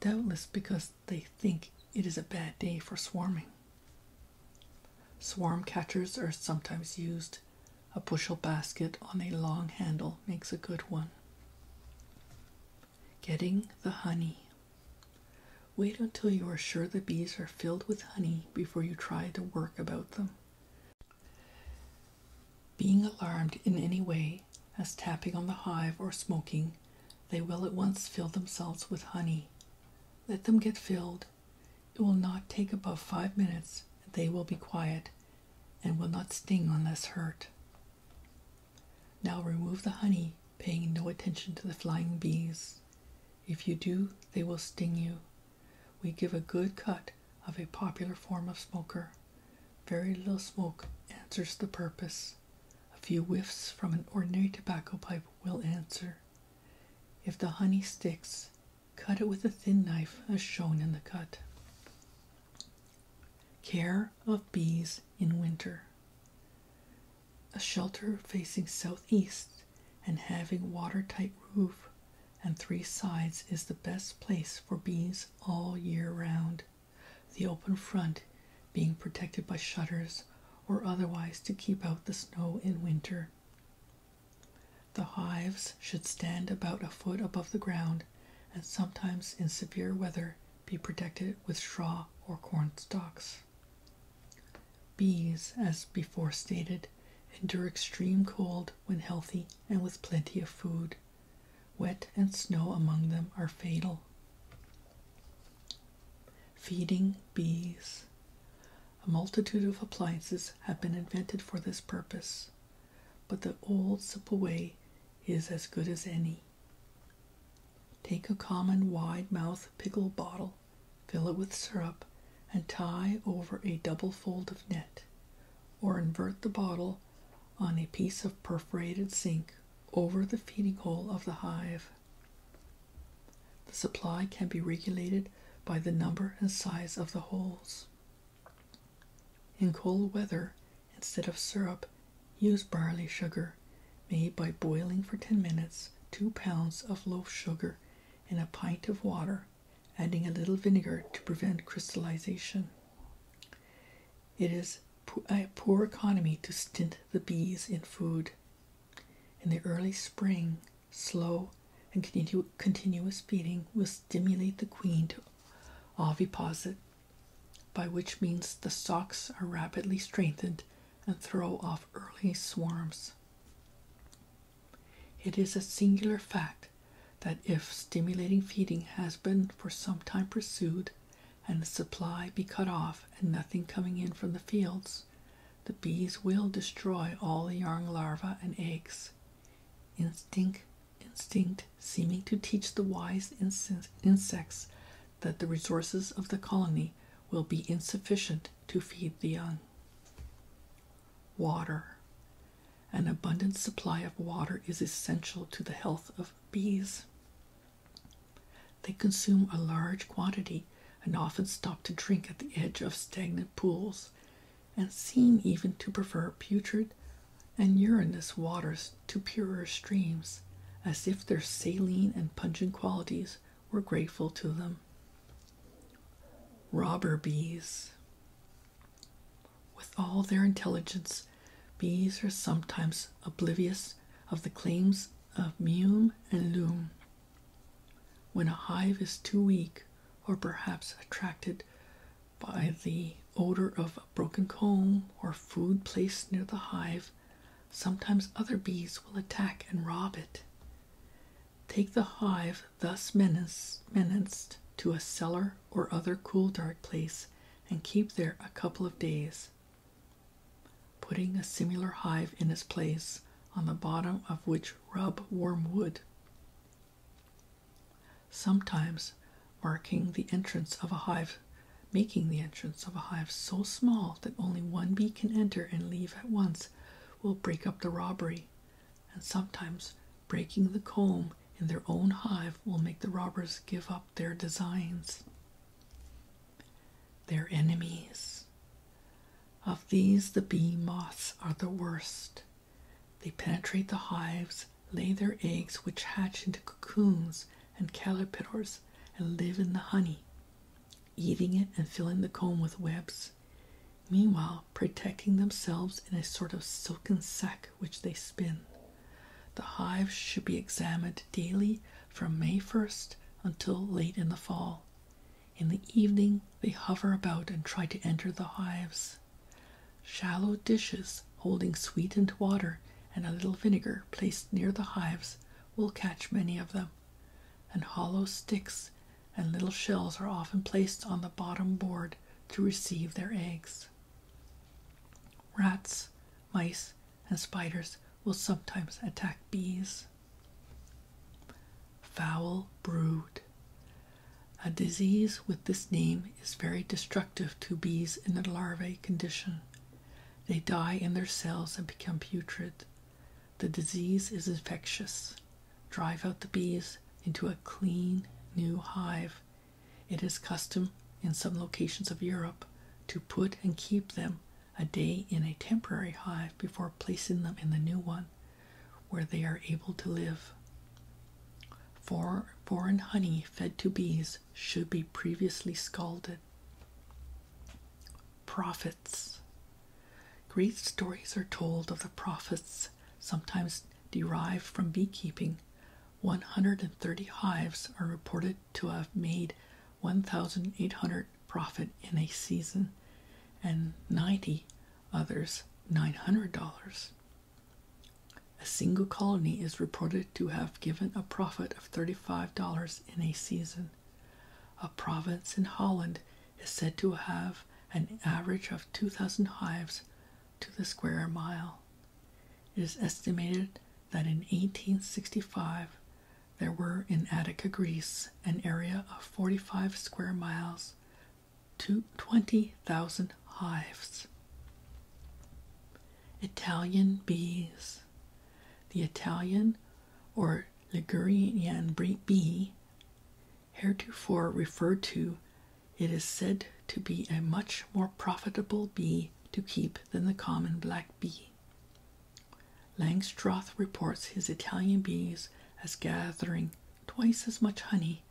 doubtless because they think it is a bad day for swarming. Swarm catchers are sometimes used. A bushel basket on a long handle makes a good one. Getting the honey. Wait until you are sure the bees are filled with honey before you try to work about them. Being alarmed in any way as tapping on the hive or smoking, they will at once fill themselves with honey. Let them get filled. It will not take above five minutes, and they will be quiet and will not sting unless hurt. Now remove the honey, paying no attention to the flying bees. If you do, they will sting you. We give a good cut of a popular form of smoker. Very little smoke answers the purpose a few whiffs from an ordinary tobacco pipe will answer. If the honey sticks, cut it with a thin knife as shown in the cut. Care of bees in winter. A shelter facing southeast and having watertight roof and three sides is the best place for bees all year round the open front being protected by shutters or otherwise to keep out the snow in winter. The hives should stand about a foot above the ground and sometimes in severe weather be protected with straw or corn stalks. Bees, as before stated, endure extreme cold when healthy and with plenty of food. Wet and snow among them are fatal. Feeding bees. A multitude of appliances have been invented for this purpose, but the old simple way is as good as any. Take a common wide mouth pickle bottle, fill it with syrup, and tie over a double fold of net, or invert the bottle on a piece of perforated zinc over the feeding hole of the hive. The supply can be regulated by the number and size of the holes. In cold weather, instead of syrup, use barley sugar made by boiling for 10 minutes 2 pounds of loaf sugar in a pint of water, adding a little vinegar to prevent crystallization. It is a poor economy to stint the bees in food. In the early spring, slow and continuous feeding will stimulate the queen to oviposit, by which means the stocks are rapidly strengthened and throw off early swarms. It is a singular fact that if stimulating feeding has been for some time pursued, and the supply be cut off and nothing coming in from the fields, the bees will destroy all the young larvae and eggs. Instinct, instinct seeming to teach the wise insects that the resources of the colony will be insufficient to feed the young. Water. An abundant supply of water is essential to the health of bees. They consume a large quantity and often stop to drink at the edge of stagnant pools and seem even to prefer putrid and urinous waters to purer streams, as if their saline and pungent qualities were grateful to them. Robber bees. With all their intelligence, Bees are sometimes oblivious of the claims of mume and loom. When a hive is too weak, or perhaps attracted by the odor of broken comb or food placed near the hive, sometimes other bees will attack and rob it. Take the hive thus menaced to a cellar or other cool, dark place and keep there a couple of days putting a similar hive in its place, on the bottom of which rub wormwood, sometimes marking the entrance of a hive, making the entrance of a hive so small that only one bee can enter and leave at once will break up the robbery, and sometimes breaking the comb in their own hive will make the robbers give up their designs their enemies. Of these, the bee moths are the worst. They penetrate the hives, lay their eggs, which hatch into cocoons and caterpillars, and live in the honey, eating it and filling the comb with webs. Meanwhile, protecting themselves in a sort of silken sack which they spin. The hives should be examined daily from May 1st until late in the fall. In the evening, they hover about and try to enter the hives. Shallow dishes holding sweetened water and a little vinegar placed near the hives will catch many of them, and hollow sticks and little shells are often placed on the bottom board to receive their eggs. Rats, mice, and spiders will sometimes attack bees. Foul brood. A disease with this name is very destructive to bees in the larvae condition. They die in their cells and become putrid. The disease is infectious. Drive out the bees into a clean new hive. It is custom in some locations of Europe to put and keep them a day in a temporary hive before placing them in the new one where they are able to live. For, foreign honey fed to bees should be previously scalded. Prophets. Great stories are told of the prophets, sometimes derived from beekeeping. 130 hives are reported to have made 1,800 profit in a season and 90 others $900. A single colony is reported to have given a profit of $35 in a season. A province in Holland is said to have an average of 2,000 hives to the square mile. It is estimated that in 1865 there were in Attica, Greece, an area of 45 square miles to 20,000 hives. Italian bees. The Italian or Ligurian bee, heretofore referred to, it is said to be a much more profitable bee to keep than the common black bee. Langstroth reports his Italian bees as gathering twice as much honey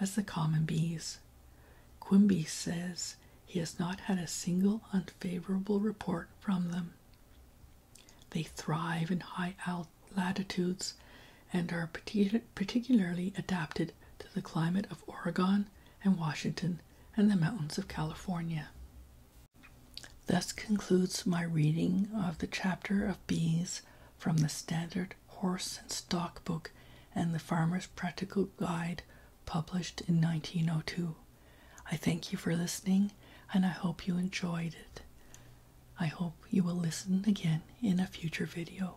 as the common bees. Quimby says he has not had a single unfavorable report from them. They thrive in high latitudes and are particularly adapted to the climate of Oregon and Washington and the mountains of California. Thus concludes my reading of the chapter of bees from the Standard Horse and Stock Book and the Farmer's Practical Guide published in 1902. I thank you for listening and I hope you enjoyed it. I hope you will listen again in a future video.